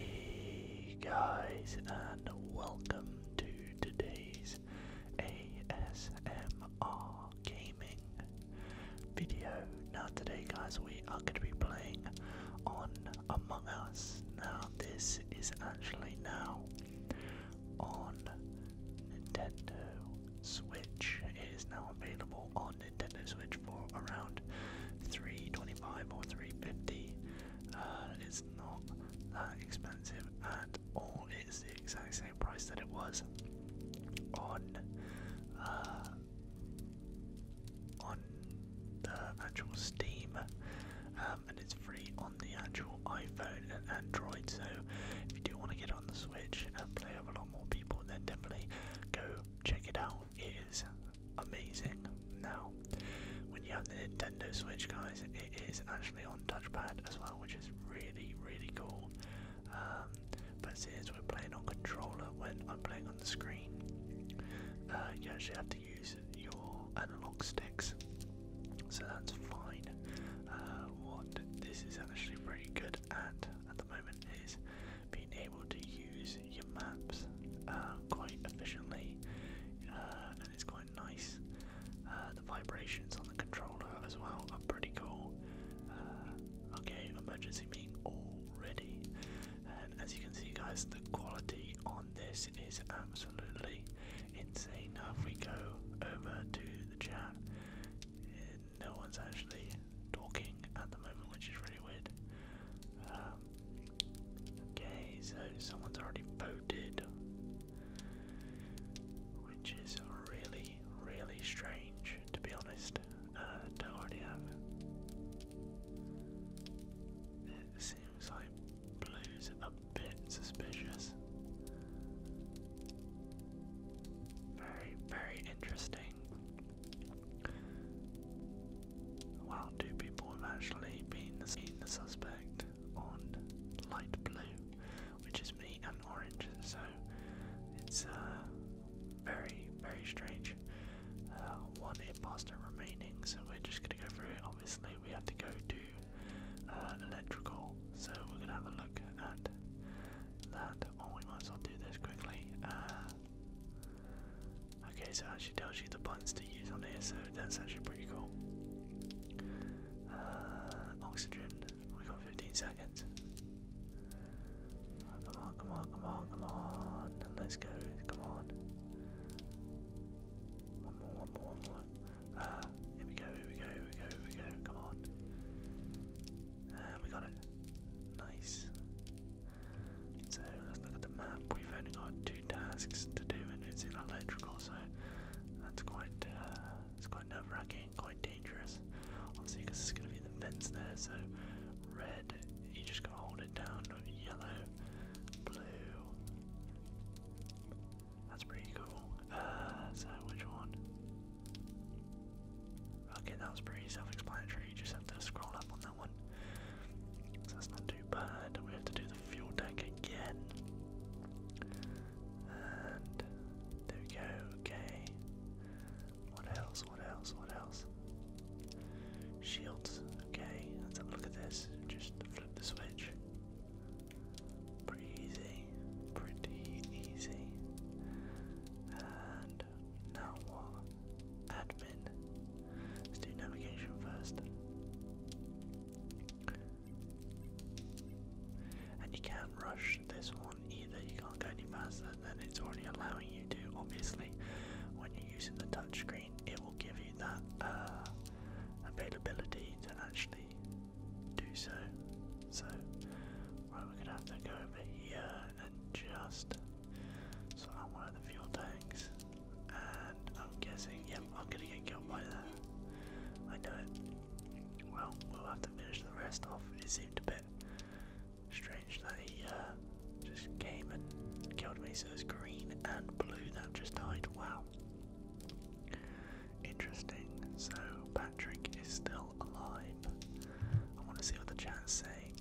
Hey guys, and welcome to today's ASMR gaming video. Now today guys we are going to be playing on Among Us. Now this is actually now on Nintendo Switch. It is now available on Nintendo Switch for around 325 or 350. Uh, it's not that expensive at all. It's the exact same price that it was on uh, on the actual Steam, um, and it's free on the actual iPhone and Android. So if you do want to get on the Switch and play with a lot more people, then definitely go check it out. It is amazing. Now, when you have the Nintendo Switch, guys, it is actually on touchpad as well, which is really really cool. Um, but since we're playing on controller when I'm playing on the screen, uh, you actually have to use your analog sticks, so that's fine. Uh, what this is actually pretty good at at the moment is being able to use your maps uh, quite efficiently, and it's quite nice. the vibrations on the controller as well are pretty cool. Uh, okay, emergency meeting already. And as you can see, guys, the quality on this is absolutely insane. Now, if we go over to the chat, eh, no one's actually talking at the moment, which is really weird. Um, okay, so someone's already voted, which is really, really strange, to be honest don't already have it. seems like blue's a bit suspicious. Very, very interesting. Wow, two people have actually been the, the suspect on light blue, which is me and orange, so it's uh, very, very strange. Uh, one imposter remaining, so we're just gonna go through it. Obviously, we have to go to uh, electrical, so we're gonna have a look at that. Or oh, we might as do this quickly. okay, so it actually tells you the buttons to use on here, so that's actually pretty cool. oxygen, we got 15 seconds. come on, come on, come on, come on. Let's go. Come on. One more, one more, one more. Uh, here we go, here we go, here we go, here we go. Come on. And uh, we got it. Nice. So let's look at the map. We've only got two tasks to do, and it's in electrical, so that's quite, uh, quite nerve racking getting quite dangerous. Obviously, because it's going to be the fence there, so red, you just got to hold it down, yellow, blue. That's pretty cool. Uh, so, which one? Okay, that was pretty self explanatory. You just have to scroll up on that one. So, that's not too bad. We have to do the fuel tank again. And there we go, okay. What else? What else? What else? Shields. Okay, let's look at this. Just flip the switch. Pretty easy. Pretty easy. And now what? Admin. Let's do navigation first. And you can rush this one either. You can't go any faster than it's already allowing you to. Obviously, when you're using the touchscreen, it will give you that uh, availability to actually do so. So, right, we're gonna have to go over here and just sort out one of the fuel tanks. And I'm guessing, yep, I'm gonna get killed by that. I know it. Well, we'll have to finish the rest off. It seems bit strange that he uh, just came and killed me. So it's green and blue that just died. Wow. Interesting. So Patrick is still alive. I want to see what the chat's saying.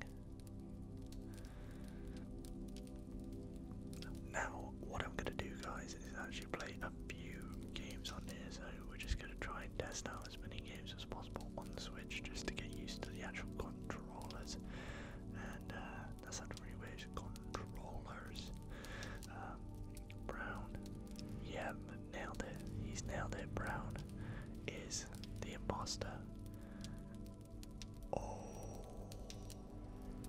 Now, what I'm going to do, guys, is actually play a few games on here. So we're just going to try and test out as many games as possible on the Switch just to get used to the actual controllers. And uh, that's not really weird, controllers. Um, Brown, yeah, nailed it. He's nailed it. Brown is the imposter. Oh,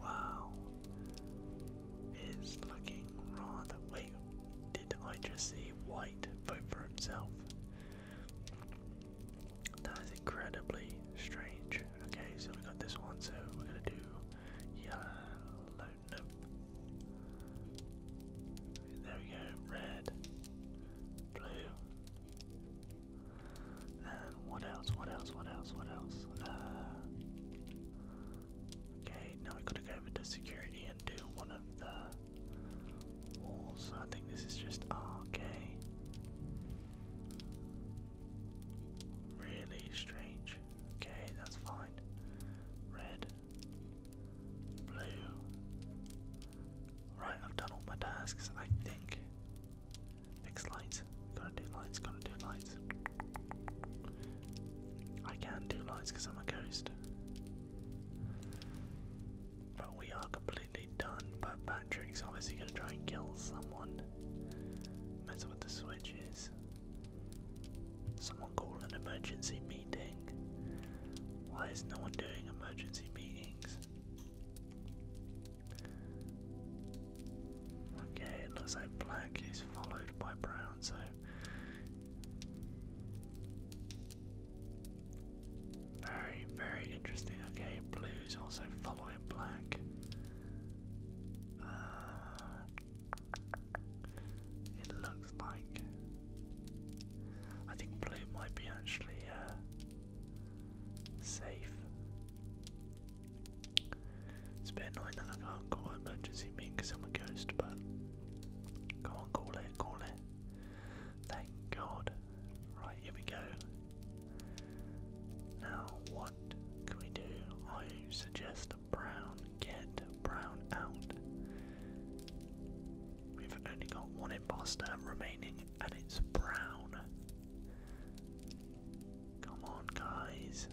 wow. It's looking rather. Wait, I just see White vote for himself? That is incredibly strange. Okay, so we have got this one, so we're gonna do yellow. Nope. There we go. Red, blue, and what else? What else? What else? What else? Uh, okay, now we gotta go over to security undo one of the walls. I think this is just RK. Really strange. Okay, that's fine. Red. Blue. Right, I've done all my tasks, I think. Next lights. Gotta do lights, gotta do lights. I can not do lights because I'm a ghost. But we are completely done. But Patrick's obviously going to try and kill someone. Mess with the switches. Someone call an emergency meeting. Why is no one doing emergency meetings? Okay, it looks like black is followed by brown, so very, very interesting. Okay, blue's also following black. Uh, it looks like. I think blue might be actually uh, safe. It's a bit annoying that I can't call emergency because I'm a ghost, but Come on, call it, call it. Thank God. Right, here we go. Now, what can we do? I suggest brown, get brown out. We've only got one imposter remaining, and it's brown. Come on, guys.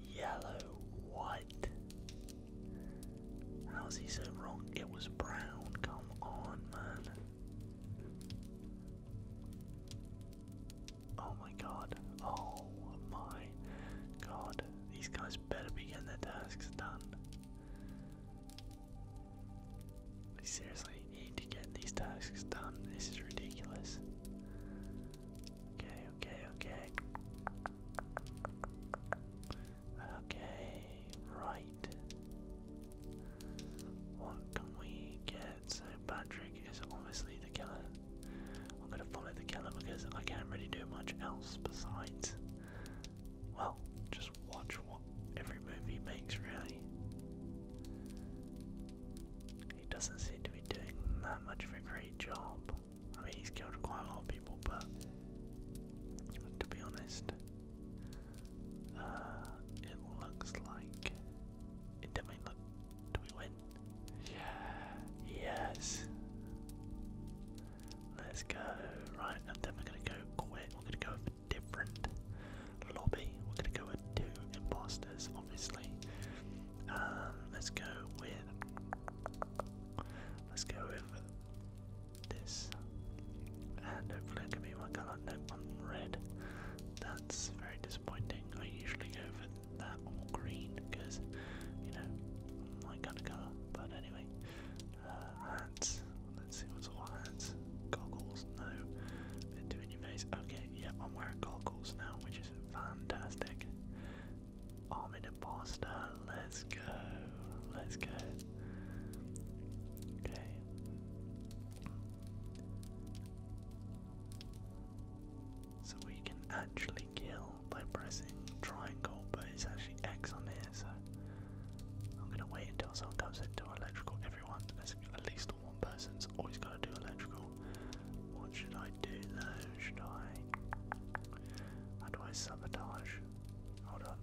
Yellow, what? How's he so wrong? It was brown. Come on, man. Oh my god. Oh my god. These guys better be their tasks done. Seriously, need to get these tasks done. This is ridiculous. Okay, okay, okay. Okay, right. What can we get? So Patrick is obviously the killer. I'm gonna follow the killer because I can't really do much else besides well, just watch what every movie makes really. He doesn't seem to be doing that much of a great job. I mean, he's killed quite a lot of people, but to be honest, uh, it looks like it did we look. Do we win? Yeah. Yes. Let's go. Right, and then we're gonna go quit. We're gonna go different lobby. We're going to go with two imposters, obviously. Um, let's go with. Let's go with this. And hopefully, it can be my colour. No, on red. That's very disappointing. I usually go for that or green because, you know, my kind of colour. But anyway, uh, Let's see what's all hands. Goggles, no. Bit too in your face. Okay, yep, I'm wearing goggles now, which is fantastic. I'm in a imposter. Let's go. Let's go. Okay. So we can actually kill by pressing triangle, but it's actually X on here, so I'm gonna wait until someone comes into electrical at least one person's always got to do electrical. What should I do though? Should I? How do I sabotage? Hold on.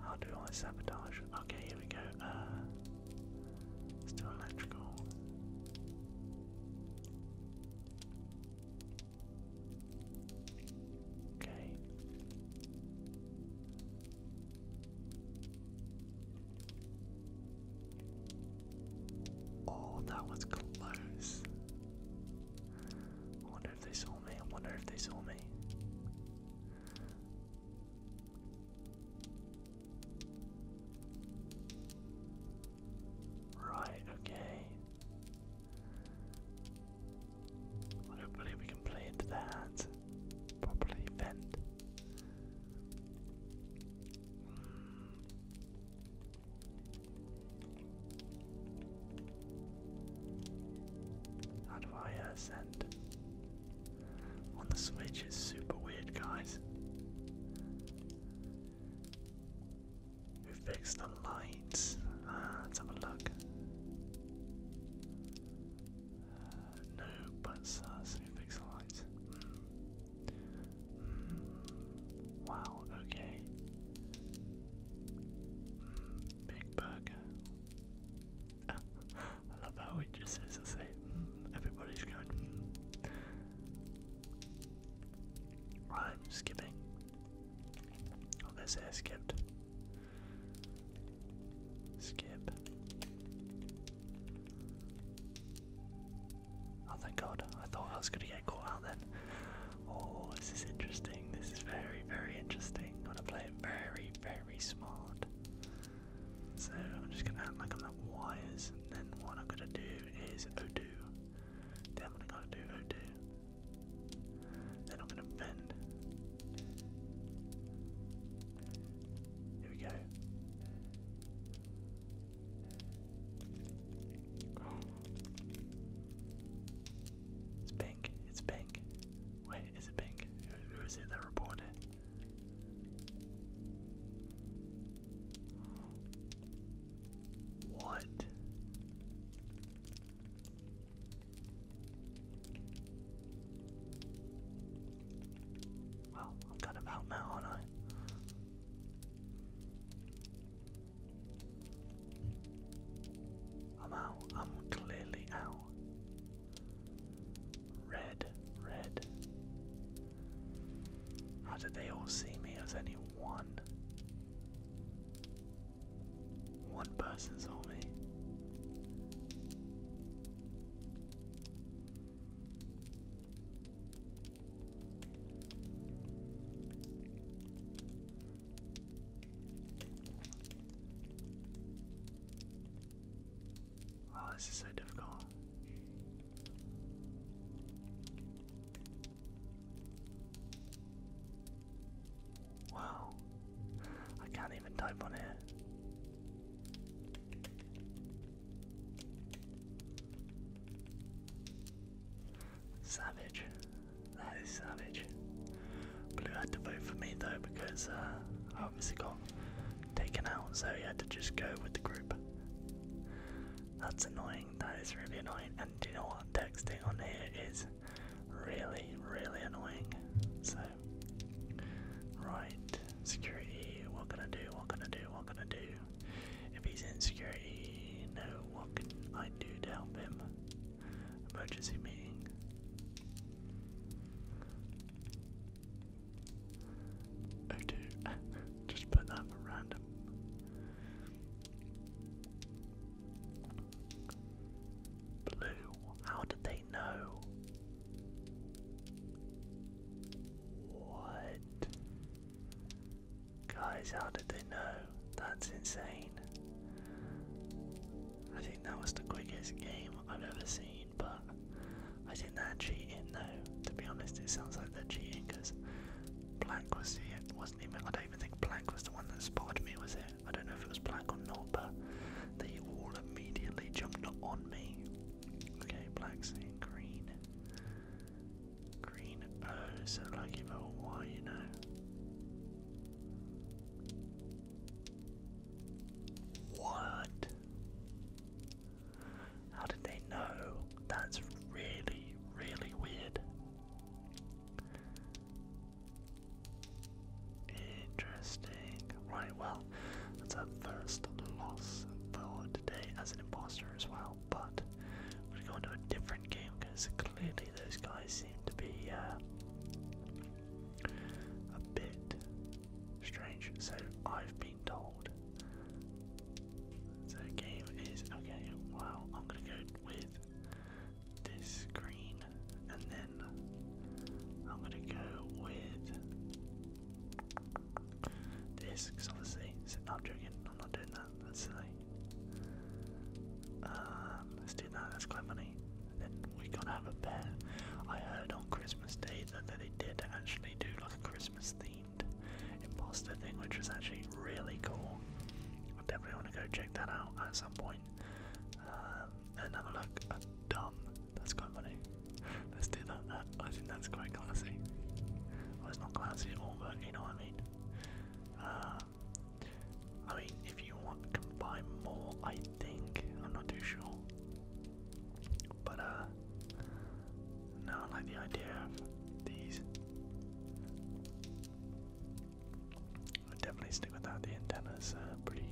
How do I sabotage? Okay, here we go. Uh, let's do electrical. Okay. Oh, that was close. wonder if they saw me. wonder if they saw me. Right, okay. Hopefully we can play into that properly fend. How do I uh, On the Switch is super weird, guys. Who fixed the lights? Ah, let's have a look. Uh, no, but Who fixed the lights? Wow, okay. Hmm, big burger. Ah, I love how it just says the same. Hmm, everybody's going. Hmm. I'm skipping. Oh, this I skipped. Skip. Oh, thank God. I thought I was going to get caught out then. Oh, this is interesting. This is very, very interesting. I'm going to play it very, very smart. So, I'm just going to act like I'm at wires, and then what I'm going to do is Odo. Definitely got to do Odoo. Then I'm gonna bend. Here we go. It's pink. It's pink. Wait, is it pink? who is it that reported? What? Well, I've got him out now, aren't I? I'm out. I'm clearly out. Red, red. How did they all see me? as only one. One person's saw Oh, this is so difficult. Wow. I can't even type on here. Savage. That is savage. Blue had to vote for me though because uh, I obviously got taken out, so he had to just go with the group. That's annoying. That is really annoying. And you know what? Texting on here is really, really annoying. So, right, security. What can I do? What can I do? What can I do? If he's in security, no. What can I do to help him? Emergency meeting. Oh, just put that random. Blue, how did they know? What? Guys, how did they know? That's insane. I think that was the quickest game I've ever seen, but I didn't actually cheating, in though. To be honest, it sounds like they're cheating because black was the, was I don't even think Black was the one that spotted me, was it? I don't know if it was Black or not, but they all immediately jumped on me. Okay, Black's in green. Green, oh, so lucky but why, you know? What? How did they know? That's really, really weird. Interesting. Right, well, that's our first loss though today as an imposter as well, but we're gonna go a different game because clearly those guys seem to be uh, a bit strange. So I've been told. So the game is okay, wow, I'm gonna go with this green, and then I'm gonna go with this, obviously, no, I'm I'm not doing that, that's silly. Um, let's do that, that's quite funny. then we gotta have a pair. I heard on Christmas Day that, that they did actually do like a Christmas theme imposter thing, which is actually really cool. I definitely want to go check that out at some point. Um, and have look at Dumb. That's quite funny. Let's do that. Uh, I think that's quite classy. Well, it's not classy at all, but you know what I mean. Uh, I mean, if you want, can buy more, I think. I'm not too sure. But, uh, no, I like the idea of these. I'd definitely stick with that. The antenna's uh, pretty.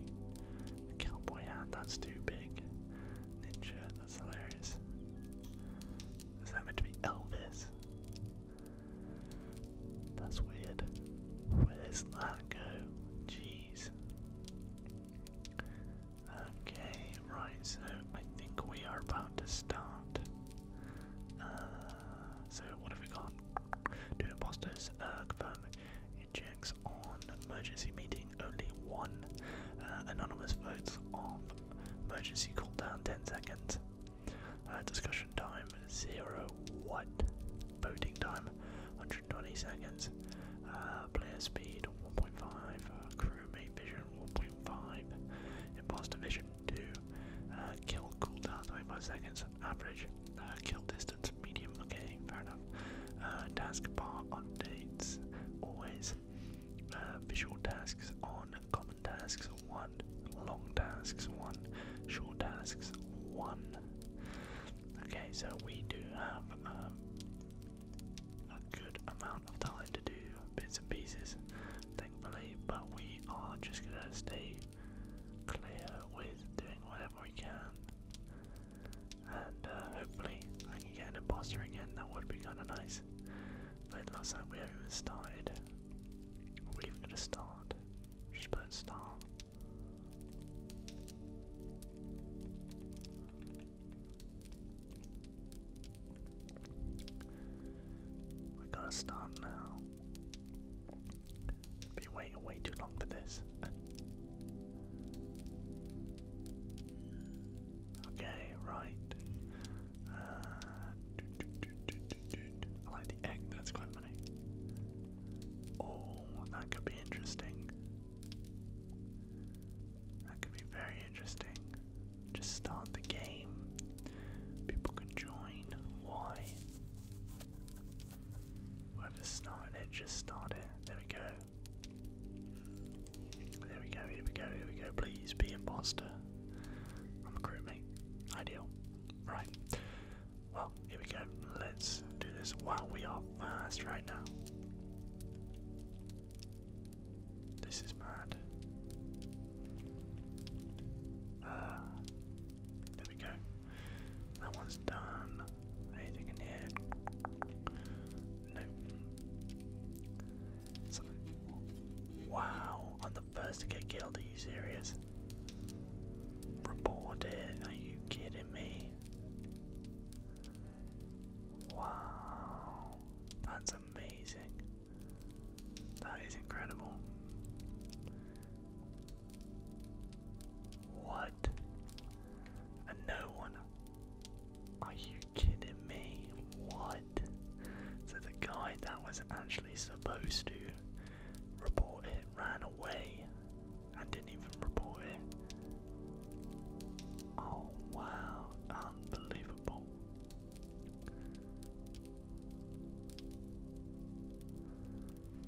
cowboy hat, that's too big. Ninja, that's hilarious. Is that meant to be Elvis? That's weird. Where's that go? Jeez. Okay, right, so I think we are about to start uh, so what have we got? Two imposters. Uh, confirm on emergency meeting. Only one. Uh, anonymous votes on emergency cooldown. Ten seconds. Uh, discussion time zero. What? Voting time. 120 seconds. Uh, player speed 1.5. Uh, crewmate vision Iron 1.5. Imposter Vision 2. Uh, kill cooldown 25 seconds. Average. Uh, kill distance medium. Okay, fair enough. Uh, taskbar updates. Always. Uh, visual tasks on. Common tasks 1. Long tasks 1. Short tasks 1. Okay, so we do have um, a good amount of time to do bits and pieces, thankfully, but we are just gonna stay clear with doing whatever we can. And uh, hopefully I can get an imposter again, that would be kinda nice. But last time we haven't even started. We're even gonna start. Just put start. We're to start now. Been waiting way too long for this. okay, right. Uh, I like the egg, that's quite funny. Oh, that could be interesting. That could be very interesting. Just start the game. People can join. Why? Whoever started it, just start it. There we go. There we go, here we go, here we go. Please be a imposter. I'm a crewmate. Ideal. Right. Well, here we go. Let's do this while we are fast right now. This is mad. Ah, there we go. That one's done. Anything in here? No. Wow, I'm the first to get killed. Are you serious? Report it. Are you kidding me? Wow, that's amazing. That is incredible. What? And no one? Are you kidding me? What? So the guy that was actually supposed to report it ran away and didn't even report it. Oh wow, unbelievable.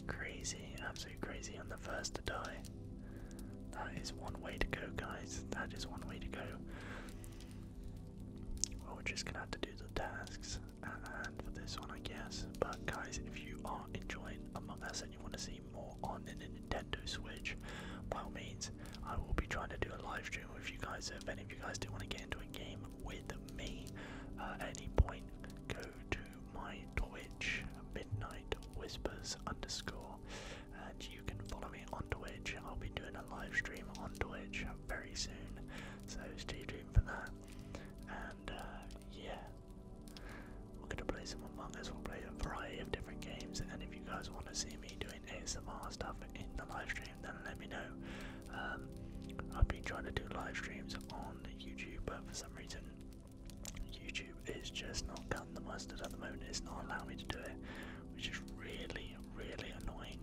Crazy, absolutely crazy. I'm the first to die. That is one way to go, guys. That is one way to go. Well, we're just gonna have to do the tasks at hand for this one, I guess. But, guys, if you are enjoying Among Us and you want to see more on the Nintendo Switch, by all means, I will be trying to do a live stream if you guys, if any of you guys do want to get into a game with me uh, at any point, go to my Twitch, Midnight Whispers underscore, and you can follow me on Twitch. I'll be doing a live stream on Twitch very soon, so stay tuned for that. And uh, yeah, we're gonna play some Among Us. We'll play a variety of different games, and if you guys want to see me doing doing ASMR stuff in the live stream, then let me know. Um, I've been trying to do live streams on YouTube, but for some reason, YouTube is just not cutting the mustard at the moment. It's not allowing me to do it, which is really, really annoying.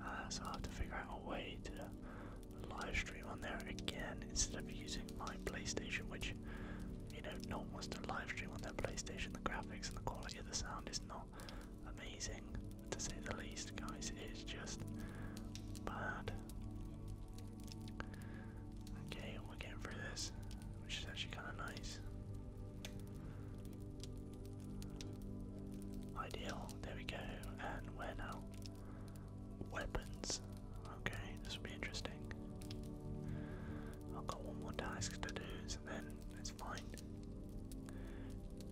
Uh, so I have to figure out a way to live stream on there again instead of using my PlayStation, which you know, no one wants to live stream on their PlayStation. The graphics and the quality of the sound is not amazing to say the least, guys. It is just bad. Okay, we're getting through this, which is actually kind of nice. Ideal, there we go, and where now? Weapons. Okay, this will be interesting. I've got one more task to do, so and then it's fine.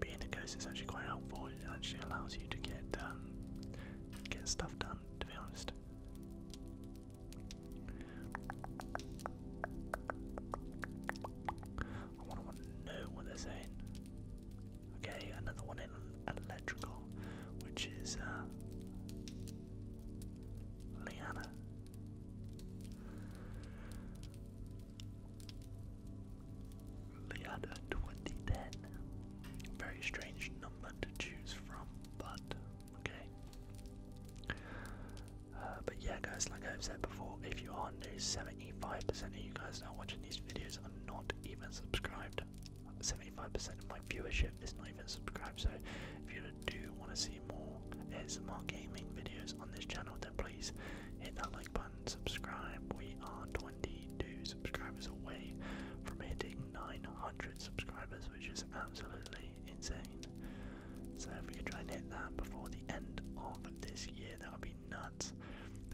Being a ghost is actually quite helpful. It actually allows you to get um, get stuff done. To be honest. I want to know what they're saying. Okay, another one in electrical, which is uh, Liana. Liada 2010. Very strange number to choose from, but okay. Uh, but yeah, guys, like I've said before, if you are new, 75% of you guys that are watching these videos are not even subscribed. 75% of my viewership is not even subscribed, so if you do want to see more more gaming videos on this channel, then please hit that like button, subscribe. We are 22 subscribers away from hitting 900 subscribers, which is absolutely insane. So if we can try and hit that before the end of this year, that would be nuts.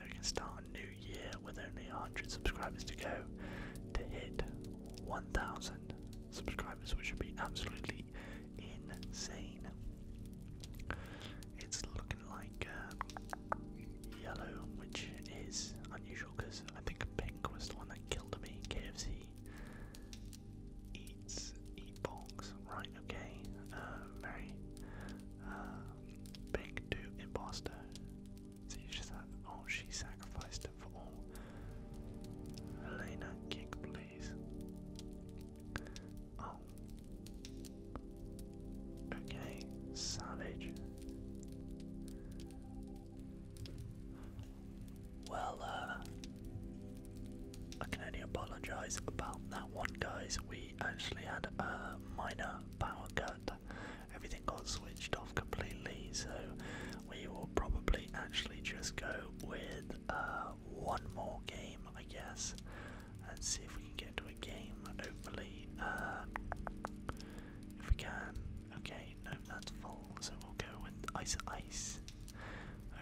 we can start a new year with only 100 subscribers to go to hit 1,000 subscribers, which would be absolutely insane. It's looking like uh, yellow, which is unusual because I think pink was the one that killed me. KFC eats eat bongs, right? Okay, uh, very uh, pink to imposter. So you just have. Oh, she sacrificed Elena, kick please. Oh. Okay, savage. Well, uh, I can only apologise about that one, guys. We actually had a minor power cut. Everything got switched off completely, so we will probably actually just go with uh, one more game, I guess, and see if we can get to a game, hopefully. Uh, if we can. Okay, no, that's full, so we'll go with Ice Ice.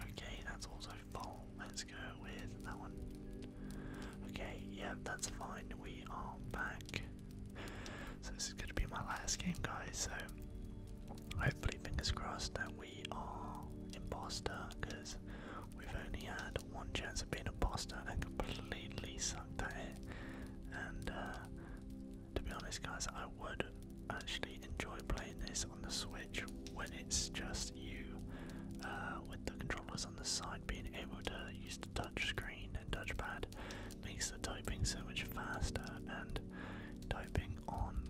Okay, that's also full. Let's go with that one. Okay, yeah, that's fine. We are back. So this is going to be my last game, guys, so hopefully, fingers crossed, that we are imposter because we've only had one chance of being a poster and completely sucked at it. And uh, to be honest, guys, I would actually enjoy playing this on the Switch when it's just you uh, with the controllers on the side. Being able to use the touch screen and touchpad makes the typing so much faster, and typing on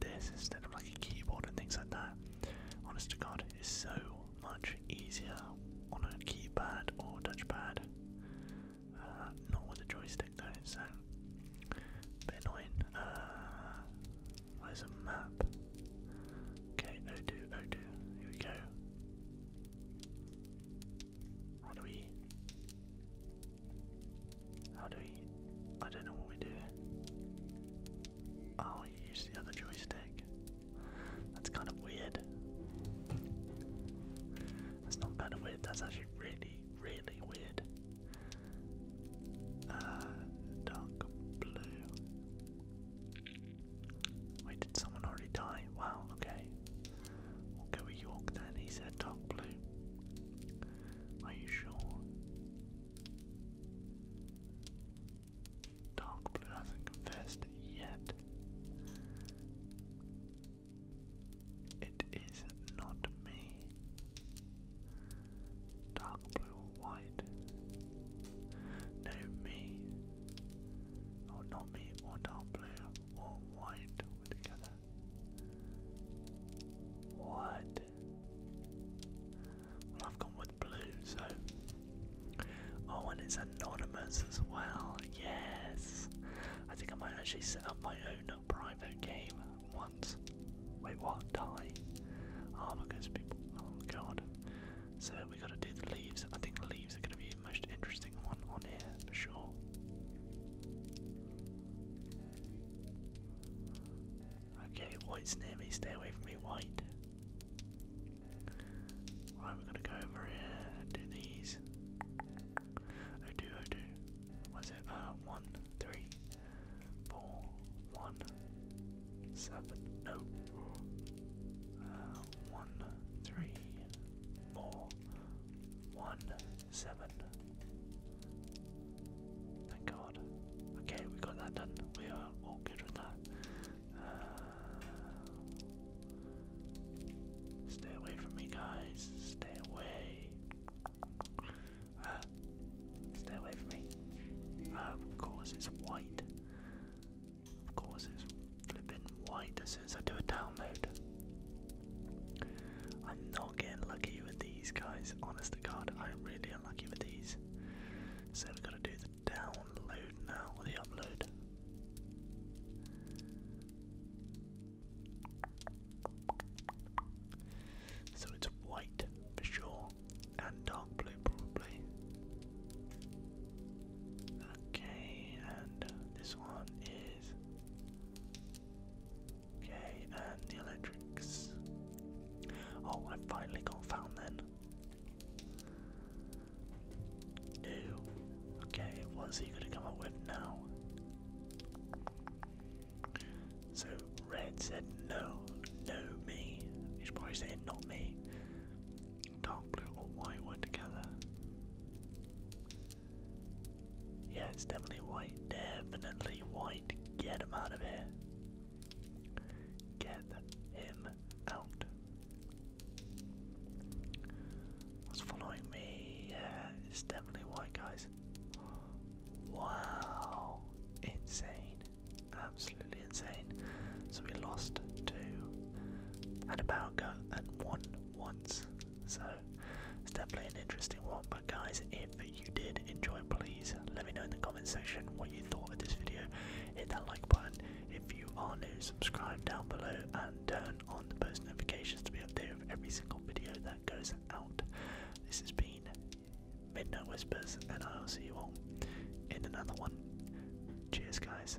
this instead of like a keyboard and things like that. Honest to God, it's so much easier on a keyboard or touchpad. Uh, not with a joystick though, so um, bit annoying. where's uh, a map? Okay, Odoo, here we go. What do we? How do we. I don't know what we do. Oh, you use the other joystick. That's kind of weird. That's not kind of weird, that's actually really, really weird. Uh, dark blue. Wait, did someone already die? Wow, okay. We'll go with York then, he said dark blue. Are you sure? Dark Blue hasn't confessed yet. It is not me. Dark blue white. No, me. Oh, not me or dark blue or white. together. What? Well, I've gone with blue, so. Oh, and it's anonymous as well. Yes! I think I might actually set up my own private game once. Wait, what? Die? Oh, look at people. Oh, God. So, we gotta do the leaves. I think the leaves are gonna be the most interesting one on here, for sure. Okay, white's near me, stay away from me, white. Right, we gonna go over here do these. Oh do, oh do. What is it? Uh, one, three, four, one, seven, no. Uh, one, three, four, one, seven. Thank God. Okay, we got that done. We are all good with that. Uh, stay away from me, guys. Stay away. Uh, stay away from me. Uh, of course, it's white. Of course, it's flipping white. As soon as I do a download, I'm not getting lucky with these guys, honest to god, I'm really unlucky with these. So we've got to do the download now, or the upload. So it's white for sure, and dark blue probably. Okay, and this one is Okay, and the electrics. Oh, I finally got found then. No. Okay, what's he gonna come up with now? So Red said no, no me. He's probably saying not me. Dark blue or white were together. Yeah, it's definitely white. Definitely white. Get him out of here. Get him out. What's following me? Yeah, it's definitely white, guys. Wow. Insane. Absolutely insane. So we lost two and about go and one once. So it's definitely an interesting one. But guys, if you did enjoy, please let me know in the comment section what you thought of this video. Hit that like button. If you are new, subscribe down below and turn on the post notifications to be updated with every single video that goes out. This has been Midnight Whispers, and I will see you all in another one. Cheers, guys.